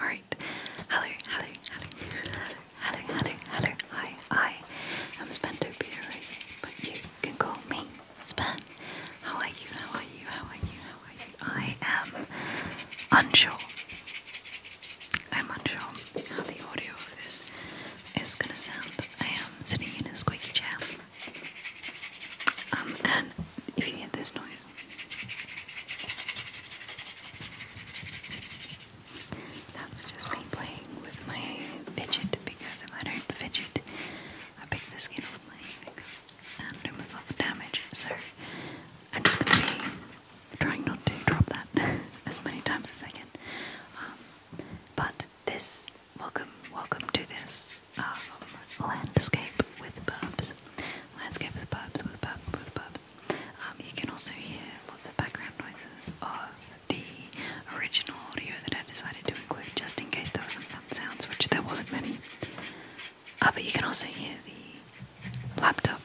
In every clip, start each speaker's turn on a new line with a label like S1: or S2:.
S1: Alright. Hello, hello, hello, hello, hello, hello, hi, I am Spando but you can call me Span. How are you? How are you? How are you? How are you? I am unsure. I'm unsure how the audio of this is gonna sound. I am sitting in a squeaky chair. Um, and if you hear this noise that's just me playing with my fidget because if I don't fidget, I pick the skin off my fingers and do myself damage. So I'm just gonna be trying not to drop that as many times as I can. Um, but this welcome, welcome to this um, landscape with burbs. Let's go with pubs, with pubs, with pubs. Um, you can also hear lots of background noises of the original audio that I decided to include just in case there were some fun sounds, which there wasn't many. Uh, but you can also hear the laptop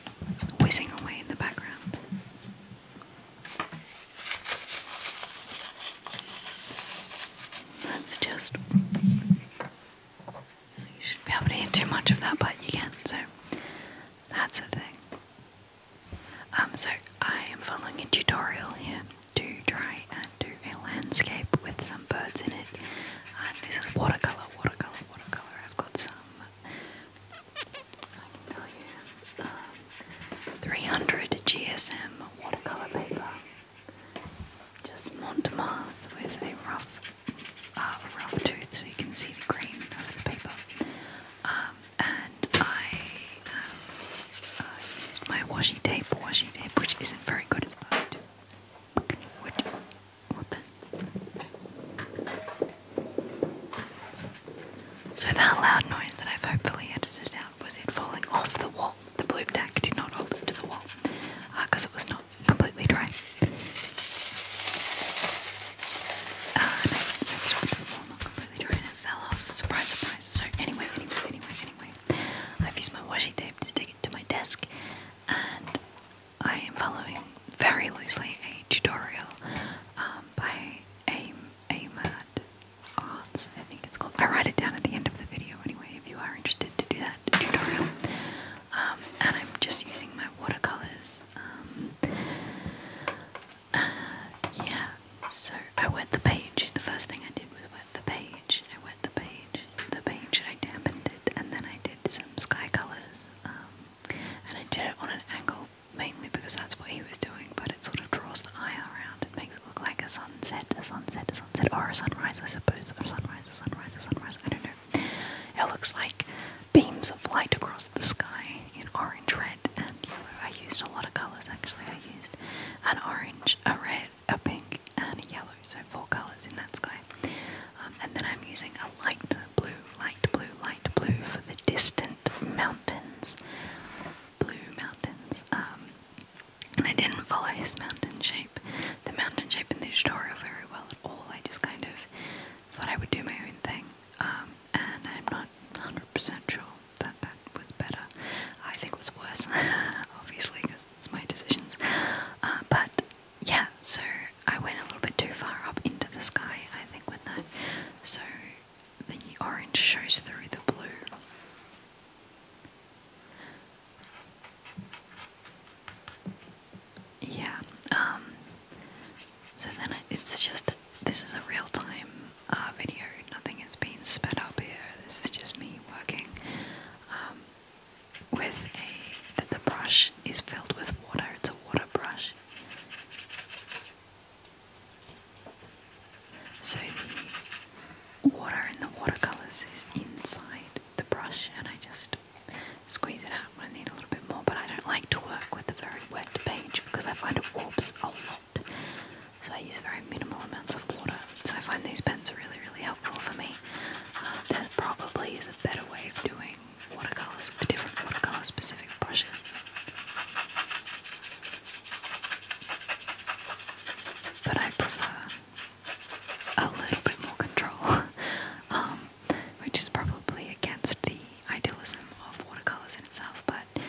S1: whizzing away in the background. let just you shouldn't be able to eat too much of that, but you can, so that's a thing. Um, so I am following a tutorial here to try and do a landscape with some birds in it. And um, this is watercolor, watercolor, watercolor. I've got some. Um, 300 GSM watercolor paper. Just Montmartre with a rough a rough tooth so you can see the green of the paper. Um, and I uh, used my washi tape, washi tape, which isn't very good at that. So that loud noise that I've hopefully edited out was it falling off the wall. The blue tack did not hold it to the wall because uh, it was not completely dry. Uh, no, that's not, completely dry and it fell off. Surprise, surprise. So anyway, anyway, anyway, I've my washi tape to stick it to my desk and I am following very loosely a tutorial um, by AIM, AIMAD Arts, I think it's called. I write it down at the end of the video anyway if you are interested to do that tutorial. Um, and I'm just using my watercolors. Um, uh, yeah, so I wet the page. The first thing I did was wet the page. I wet the page, the page, I dampened it, and then I did some sky colours. Um, and I did it on an angle mainly because that's what he was doing, but it sort of draws the eye around. It makes it look like a sunset, a sunset, a sunset, or a sunrise, I suppose. A sunrise, a sunrise, a sunrise. I don't know. It looks like beams of light across the sky in orange, red, and yellow. I used a lot of colours actually. I used an orange, a red, a pink, and a yellow, so four colours in that sky. Um, and then I'm using a light blue, light blue, light blue for the distant mountains. Blue mountains. Um, I didn't follow his mountain shape, the mountain shape in the tutorial very well at all. I just kind of thought I would do my own thing, um, and I'm not 100 sure that that was better. I think it was worse, obviously, because it's my decisions. Uh, but yeah, so I went a little bit too far up into the sky, I think, with that. So the orange shows through the blue. Yeah. Um, so then it's just this is a real time uh, video. Nothing is being sped up here. This is just me working um, with a that the brush is filled with water. It's a water brush. So the water in the watercolors is inside the brush, and I just squeeze it out when I need a little bit more, but I don't like to work with a very wet page because I find it warps a lot. So I use very minimal amounts of water. So I find these pens are really, really helpful for me. Uh, there probably is a better way of doing watercolors with different watercolor specific brushes. But I prefer a little bit more control. Um, which is probably against the idealism of watercolors in itself. But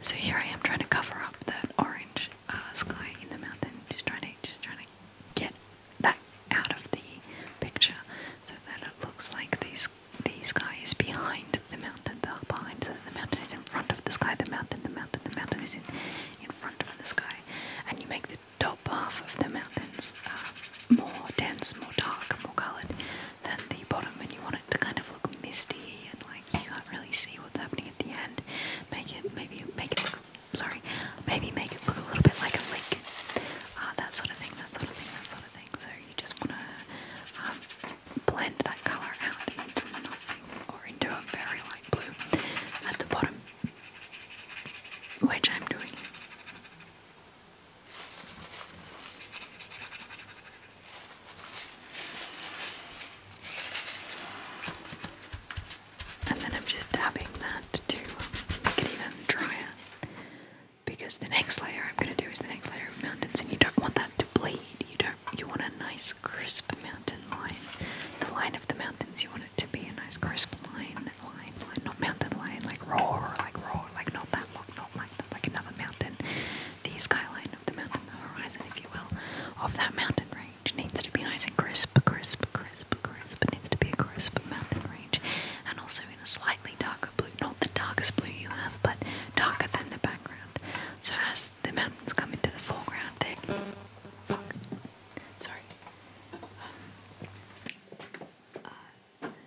S1: so here I am trying to cover up that orange uh, sky in the mountain, just trying to just trying to get that out of the picture so that it looks like these the sky is behind the mountain, the behind the, the mountain is in front of the sky, the mountain, the mountain, the mountain is in in front of the sky, and you make the top half of the mountains are more dense, more dark, more coloured than the bottom, and you want it to kind of look misty and like you can't really see what's happening at the end. Make it maybe make it look sorry, maybe make it look a little bit like a lake. Uh, that sort of thing, that sort of thing, that sort of thing. So you just want to um, blend that colour out into nothing or into a very light blue at the bottom, which I'm doing. And then I'm just dabbing that to make it even drier. Because the next layer I'm going to do is the next layer of mountains, and you don't want that to bleed. You don't. You want a nice crisp mountain line. The line of the mountains. You want it to be a nice crisp line mountain like not mountain lion, like roar, like roar, like not that look, not like that, like another mountain. The skyline of the mountain, the horizon, if you will, of that mountain range needs to be nice and crisp, crisp, crisp, crisp. needs to be a crisp mountain range, and also in a slightly darker blue, not the darkest blue you have, but darker than the background. So as the mountains come into the foreground, they Sorry. Um, uh,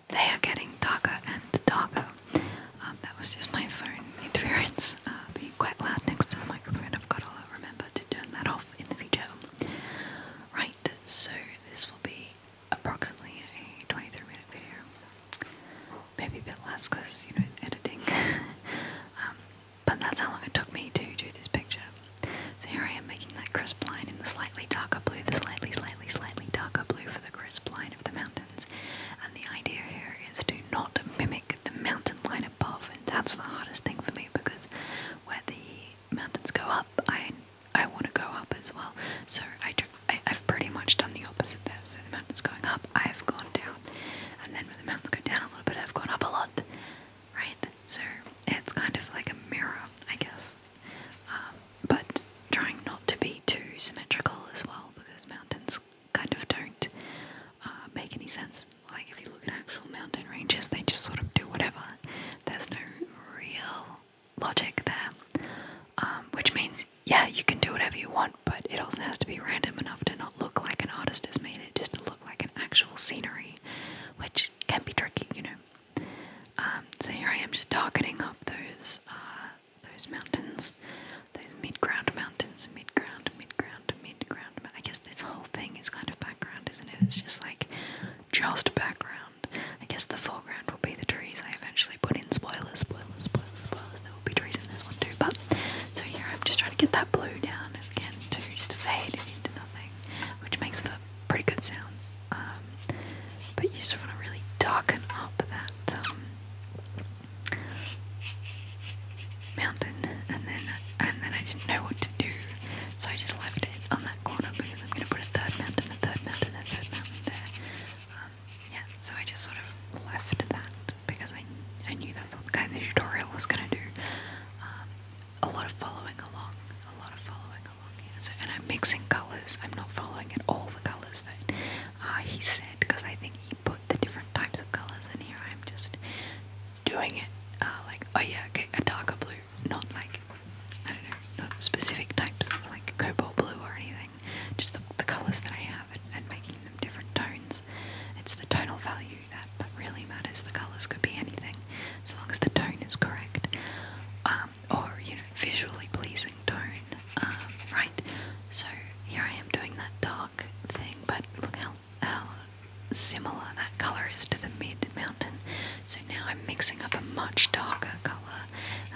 S1: they are getting darker and darker. Um, that was just my phone interference uh, being quite loud next to the microphone. I've got to remember to turn that off in the future. Right, so this will be approximately a 23 minute video. Maybe a bit less because, you know, editing. Um, but that's how long it took me to do this picture. So here I am making that crisp line in the slightly darker blue, the slightly, slightly, slightly darker blue for the crisp line of the mountains. And the idea here is to not mimic the mountain line above, and that's the hardest thing for me because where the mountains go up, I I want to go up as well. So I, have pretty much done the opposite there. So the mountains going up, I've gone down, and then when the mountains go down a little bit, I've gone up a lot, right? So it's kind of like a mirror, I guess. Um, but trying not to be too symmetrical as well because mountains kind of don't uh, make any sense. Like if you look at actual mountain ranges, they just sort of do whatever. There's no real logic there, um, which means yeah, you can do whatever you want, but it also has to be random enough to not look like an artist has made it, just to look like an actual scenery, which can be tricky, you know. Um, so here I am just targeting up those uh, those mountains, those mid-ground mountains, mid-ground, mid-ground, mid-ground. I guess this whole thing is kind of background, isn't it? It's just like just background. I guess the foreground will be the trees. I eventually put in spoilers, spoilers, spoilers, spoilers. There will be trees in this one too, but so here I'm just trying to get that blue down again to just fade into nothing, which makes for pretty good sounds. Um, but you just want to really darken up that um, mountain, and then and then I didn't know what to do, so I just left it on that corner because I'm going to put a third mountain, a third mountain, a third mountain there. Um, yeah, so I just sort of left that because I I knew that's what the guy in the tutorial was going to do. a lot of following along, a lot of following and I'm mixing colors. I'm not following at all the colors that uh, he said because I think he put the different types of colors in here. I'm just doing it uh, like, oh yeah, okay, a darker blue, not like, I don't know, not specific types like cobalt blue or anything. Just the, colors that I have and, making them different tones. It's the tonal value that, really matters. The colors could be anything, as long as the tone is correct. Um, or you know visually pleasing tone um, right so here I am doing that dark thing but look how, how similar that color is to the mid mountain so now I'm mixing up a much darker color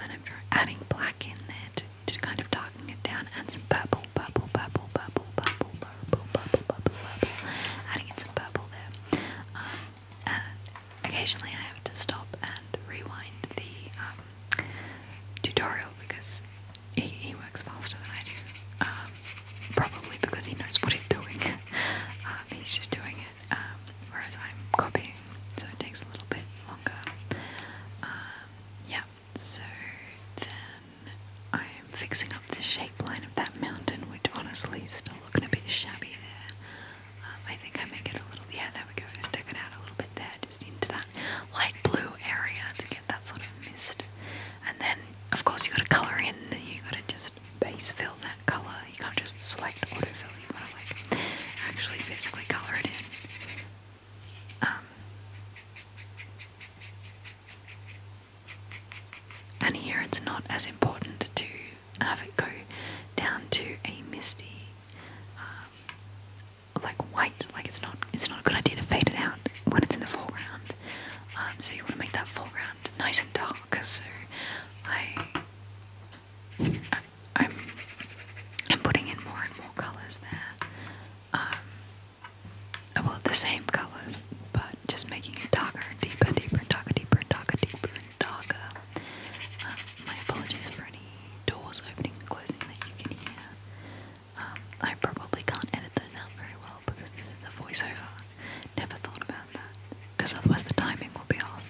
S1: and I'm adding black in there to, to kind of darken it down and some purple purple purple purple purple purple purple purple purple, purple. adding in some purple there um, and occasionally I have to stop and rewind the um, tutorial because he, works faster than I do. Um, probably because he knows what he's doing. Uh, he's just doing it, um, whereas I'm copying, so it takes a little bit longer. yeah, so then I'm fixing up the shape line of that mountain, which honestly is still looking a bit shabby there. Um, I think I make it a little, yeah, there we go. stick it out a little bit there, just into that light blue area to get that sort of mist. And then, of course, you have got to color in. You have got to just base fill that color. You can't just select auto fill. You have got to like actually physically color it in. Um, and here it's not as important to have it go down to a misty, um, like white. Like it's not it's not a good idea to fade it out when it's in the foreground. Um, so you want to make that foreground nice and dark. So I, I am I'm putting in more and more colors there. Um, well, the same colors, but just making it darker and deeper, deeper, darker, deeper, darker, deeper darker. Um, my apologies for any doors opening and closing that you can hear. Um, I probably can't edit those out very well because this is a voiceover. Never thought about that because otherwise the timing will be off.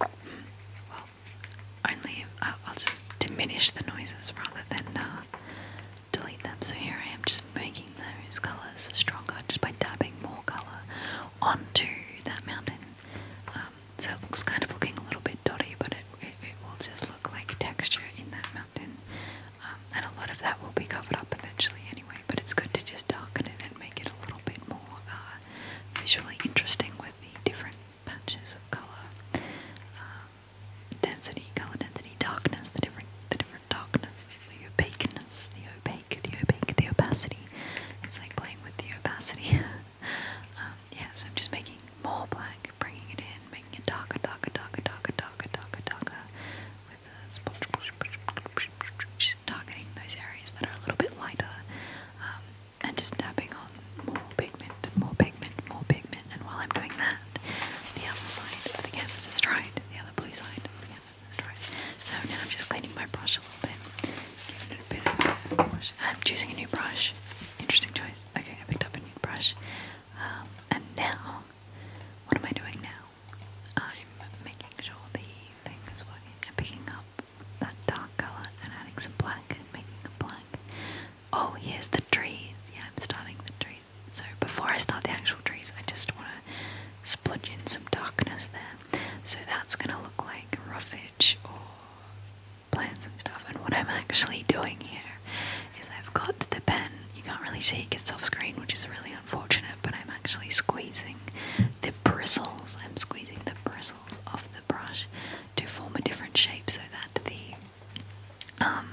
S1: Well, only uh, I'll, just diminish the noises rather than uh, delete them. So here I am just making those colours stronger just by dabbing more colour onto that mountain. Um, so it looks kind of looking a little bit dotty, but it, it, will just look like texture in that mountain. Um, and a lot of that will be covered up eventually anyway, but it's good to just darken it and make it a little bit more uh, visually interesting with the different patches of colour. Um, density, colour density, darkness, the different the different darkness, the opaqueness, the opaque, the opaque, the opacity. It's like playing with the opacity. um, yeah, so I'm just making more black, bringing it in, making it darker, darker, darker, darker, darker, darker, darker, with a sponge, just targeting those areas that are a little bit lighter, um, and just tapping on more pigment, more pigment, more pigment. And while I'm doing that, the other side of the canvas is dried, the other blue side of the canvas so now I'm just cleaning my brush a little bit. Giving it a bit of a wash. I'm choosing a new brush. Interesting choice. Okay, I picked up a new brush. Um, and now, what am I doing now? I'm making sure the thing is working. I'm picking up that dark colour and adding some black and making it black. Oh, here's the trees. Yeah, I'm starting the trees. So before I start the actual trees, I just want to splodge in some darkness there. So that's going to look like roughage or plants and stuff. And what I'm actually doing here is I've got the pen. You can't really see it gets off screen, which is really unfortunate, but I'm actually squeezing the bristles. I'm squeezing the bristles off the brush to form a different shape so that the um,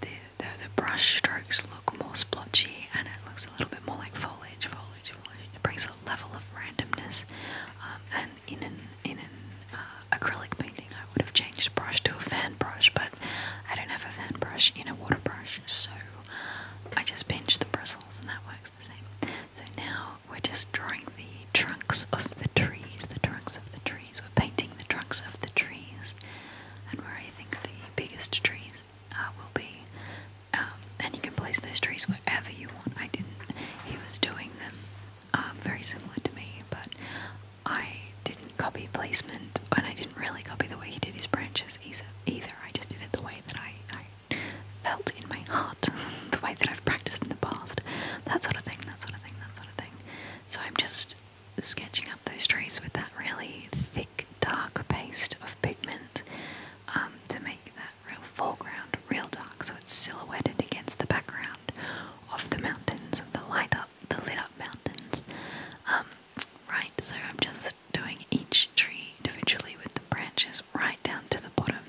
S1: the the brush strokes look more splotchy and it looks a little bit more like foliage foliage it brings a level of randomness. Um, and in an in an uh, acrylic painting, I would have changed brush to a fan brush, but I don't have a fan brush in a water brush, so I just pinch the bristles, and that works the same. So now we're just drawing the trunks of the trees. The trunks of the trees. We're painting the trunks of the trees, and where I think the biggest trees uh, will be um, and you can place those trees wherever you want. I didn't. He was doing them um, very similar to me, but I didn't copy placement, and I didn't really copy the way he did his branches either. Either I just did it the way that I, felt in my heart, the way that I've practiced in the past, that sort of thing, that sort of thing, that sort of thing. So I'm just sketching up those trees with that really thick, dark paste of pigment um, to make that real foreground, real dark, so it's silhouetted against the background of the mountains, of the light up, the lit up mountains. Um, right, so I'm just doing each tree individually with the branches right down to the bottom,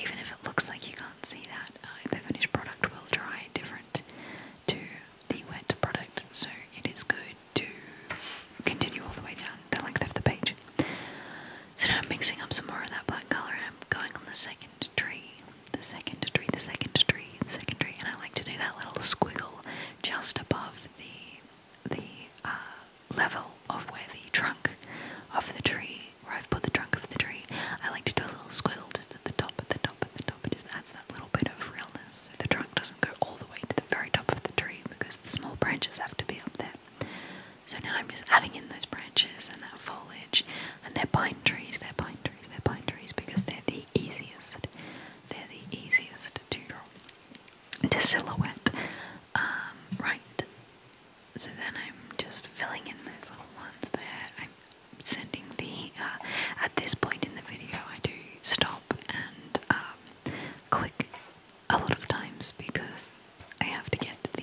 S1: even if it looks like you can't see that. Uh, the finished product will dry different to the wet product, so it is good to continue all the way down the length of the page. So now I'm mixing up some more of that black color and I'm going on the second tree, the second tree, the second tree, the second tree, and I like to do that little squiggle just above the the uh, level of where the trunk of the tree, where I've put the trunk of the tree. I like to do a little squiggle just at the top, at the top, at the top. It just adds that little bit of realness. So the trunk doesn't go all the way to the very top of the tree because the small branches have to be up there. So now I'm just adding in those branches and that foliage, and they're pine trees, they're pine trees, they're pine trees because they're the easiest, they're the easiest to draw, to silhouette. Um, right. So then I'm just filling in those little ones there. I'm sending the. Uh, at this point in the video, I do stop and um, click a lot of times because I have to get the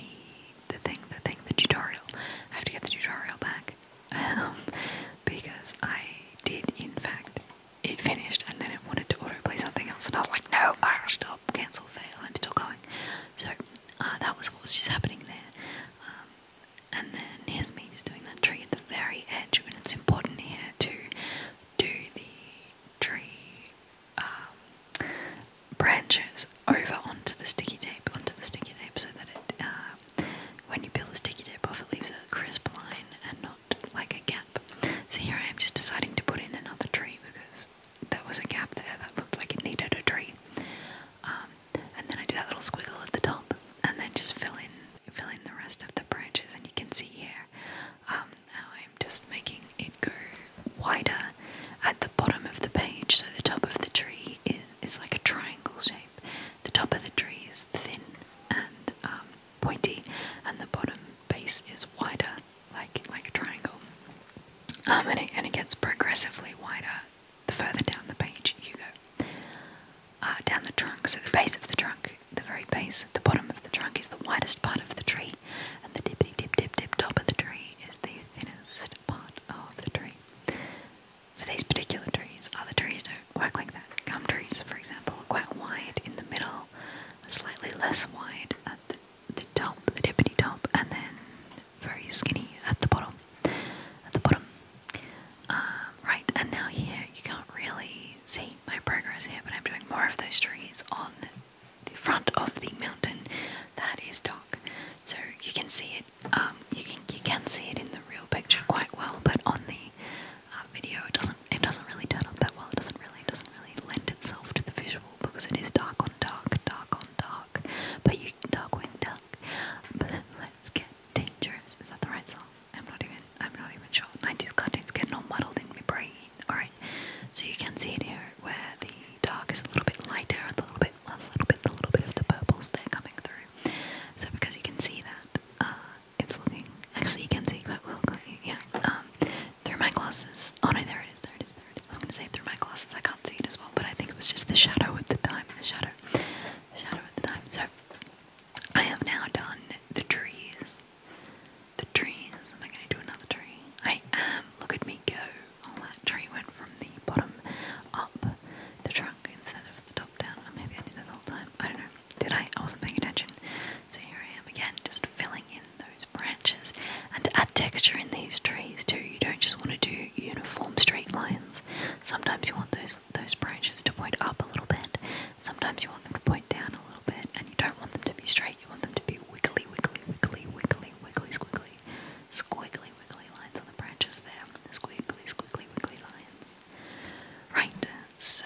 S1: the thing, the thing, the tutorial. I have to get the tutorial back um, because I did, in fact, it finished and then it wanted to autoplay something else, and I was like, no, I stop, cancel, fail. I'm still going. So uh, that was what was just happening there. Um, and then here's me just doing that tree at the very edge, and it's important here to do the tree um, branches over onto the sticky tape, onto the sticky tape, so that it, uh, when you peel the sticky tape off, it leaves a crisp line and not like a gap. So here I am just deciding to put in another tree because there was a gap there that looked like it needed a tree. Um, and then I do that little squiggle at the top, and then just fill in, fill in the rest of the branches, and you can see here um, now I'm just making it go wider at the bottom of the page, so the top of the tree is, is like a triangle shape. The top of the tree is thin and um, pointy, and the bottom base is wider, like like a triangle. Um, and, it, and it gets progressively wider the further down the page you go. Uh, down the trunk, so the base of the trunk, the very base at the bottom of the trunk is the widest part of the tree, and the tippity tip tip tip top of the tree is the thinnest part of the tree. For these particular trees, other trees don't work like that. Gum trees, for example, quite wide in the middle, slightly less wide at the, the top, the tippity top, and then very skinny at the bottom. At the bottom. Um, right, and now here you can't really see my progress here, but I'm doing more of those trees on the front of the mountain that is dark. So you can see it. Um, you can you can see it in the real picture quite well, but on the uh, video it doesn't. It doesn't really turn up that well. It doesn't really doesn't really lend itself to the visual because it is dark on dark, dark on dark. But you dark when dark. let's get dangerous. Is that the right song? I'm not even. I'm not even sure. 90s content's getting all muddled in my brain. Alright, so you can see it here where the dark is a little bit lighter and a little bit, a little bit, a little bit of the purples they coming through. So because you can see that, uh, it's looking. Actually, you can see quite well, Yeah. Um, through my glasses. Oh no, there it is. There it is. There it is. I was gonna say through my glasses. I can't see it as well, but I think it was just the shadow at the time. The shadow. The shadow at the time. So I have now done the trees. The trees. Am I gonna do another tree? I am. Look at me go all that tree went from the bottom up the trunk instead of the top down. maybe I did that the whole time. I don't know. Did I? I wasn't paying attention. So here I am again, just filling in those branches and add texture in these trees too. You don't just want to do uniform straight lines. Sometimes you want those those branches to point up a little bit. Sometimes you want them to point down a little bit, and you don't want them to be straight. You want them to be wiggly, wiggly, wiggly, wiggly, wiggly, squiggly, squiggly, wiggly lines on the branches there. Squiggly, squiggly, wiggly lines. Right, so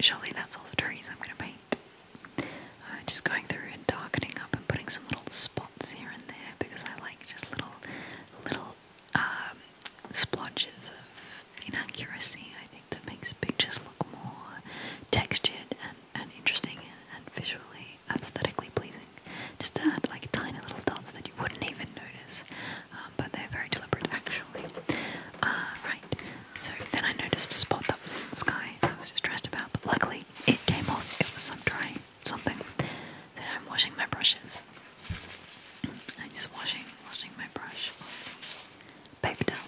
S1: surely that's all the trees I'm going to paint. Uh, just going through and darkening up and putting some little spots here and there because I like just little, little um, splotches of inaccuracy. I think that makes pictures look more textured and and interesting and, visually aesthetically pleasing. Just to add like tiny little dots that you wouldn't even notice, um, but they're very deliberate actually. Uh, right, so then I noticed a spot that was in the sky I was distressed about, but luckily it came off. It was some dry something. Then I'm washing my brushes. I'm just washing, washing my brush on paper towel.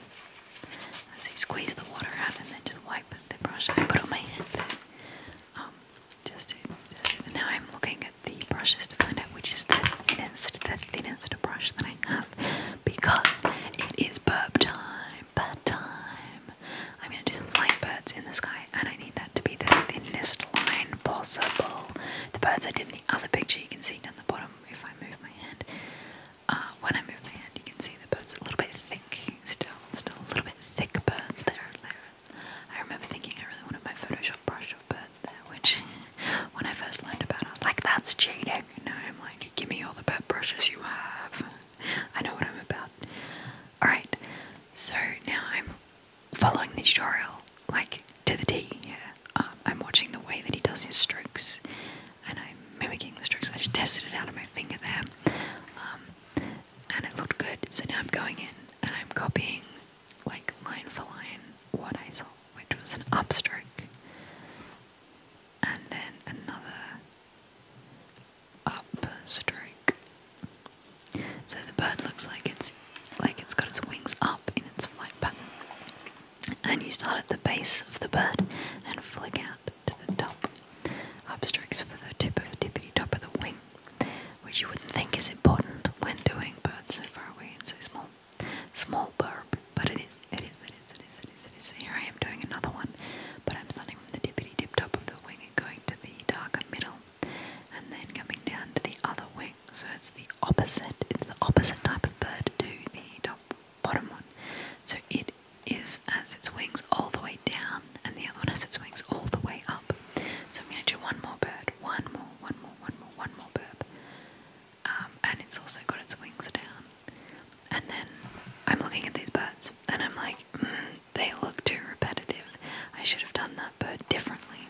S1: So you squeeze the water out and then just wipe I put the brush I put on my hand Um, just, to, just now I'm looking at the brushes to find out which is the thinnest, the thinnest brush that I have because it is burp time, bird time. I'm gonna do some flying birds in the sky, and I need that to be the thinnest line possible. The birds I did in the other picture, you can see down the bottom if I move my hand. Uh, when I move my hand, you can see the bird's a little bit thick, still, still a little bit thick birds there. there. I remember thinking I really wanted my Photoshop brush of birds there, which when I first learned about it, I was like, that's cheating. No, I'm like, give me all the bird brushes you have. I know what I'm about. Alright, so now I'm following the tutorial, like, to the T here. Um, I'm watching the way that he does his strokes, and I'm mimicking the strokes. I just tested it out of my finger there. Um, and it looked good. So now I'm going in and I'm copying, like, line for line, what I saw, which was an upstroke, and then another upstroke. So the bird looks like it's like it's got its wings up in its flight pattern. And you start at the base of the bird and flick out to the top. Obstructs for the tip of tippity top of the wing, which you wouldn't think is important when doing birds so far away and so small. Small burb, but it is, it is, it is, it is, it is, it is. So here I am doing another one, but I'm starting from the tippity tip top of the wing and going to the darker middle, and then coming down to the other wing. So it's the opposite, it's the opposite type of bird to the top bottom one. So it is as its wings all the way down, and the other one has its wings all the way up. So I'm going to do one more bird, one more, one more, one more, one more bird, um, and it's also got its wings down. And then I'm looking at these birds, and I'm like, mm, they look too repetitive. I should have done that bird differently.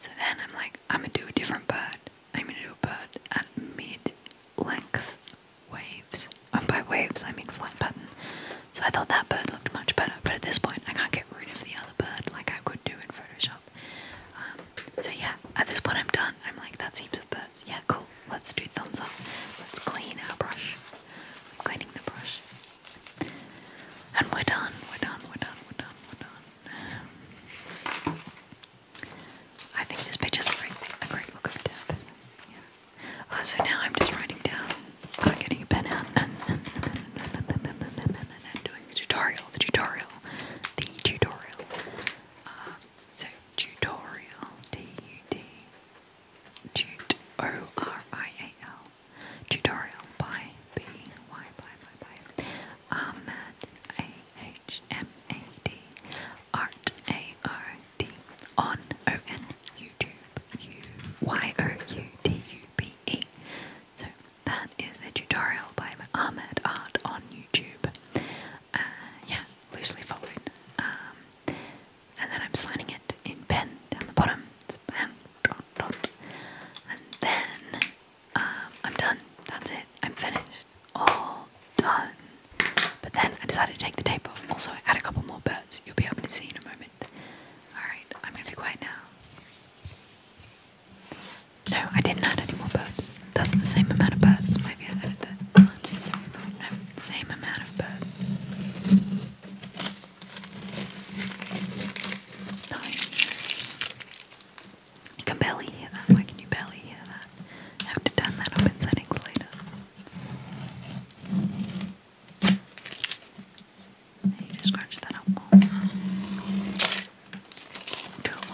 S1: So then I'm like, I'm gonna do a different bird. I'm gonna do a bird at mid length waves. And um, by waves, I mean flight pattern. So I thought that bird looked much better, but at this point, I can't get rid of the other bird like I could do in Photoshop. Um, so yeah, at this point, I'm done. I'm like, that's heaps of birds. Yeah, cool. Let's do thumbs up. Let's clean our brush. I'm cleaning the brush. And we're done. We're done. We're done. We're done. We're done. Um, I think this picture's great, a great look of depth. Yeah. Uh, so now I'm just writing down, uh, getting a pen out, and, and, and, and, and, and, and, and, and doing the tutorial, the tutorial, the tutorial. Uh, so tutorial, T-U-T, tut, O-R-I-A-L, tutorial by B, Y, by, by, by, Ahmad, A-H-M-A-D, art, A-R, on O N YouTube U Y O U T U B E. So that is a tutorial by Ahmed Art on YouTube. Uh, yeah, loosely followed. Um, and then I'm signing it in pen down the bottom. And then um, I'm done. That's it. I'm finished. All done. But then I decided to take the tape off. Also, add a couple more birds. You'll be able to see in a moment. Alright, I'm going to be quiet now. No, I didn't add any more birds. That's the same amount of birds. Maybe I added No, same amount of birds. You can barely hear that. Why can you barely hear that? I have to turn that up in settings later. I need scratch that up more. Do noise?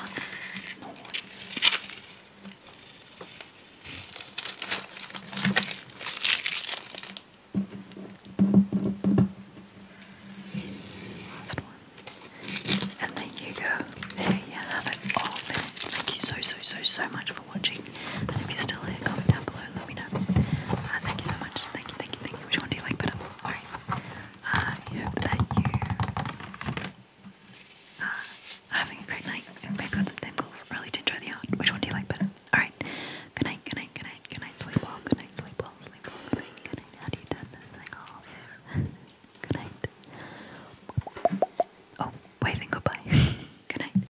S1: Last one. And there you go. There you have it. Oh man, thank you so, so, so, so much watching. And if you're still here, comment down below, let me know. Uh, thank you so much. Thank you, thank you, thank you. Which one do you like better? Alright. Uh, I hope that you uh, having a great night and maybe got some tingles. Really to enjoy the art. Which one do you like better? Alright. Good night, good night, good night, good night. Sleep well, good night, sleep well, sleep well, good night, How do you turn this thing off? good night. Oh, waving goodbye. good night.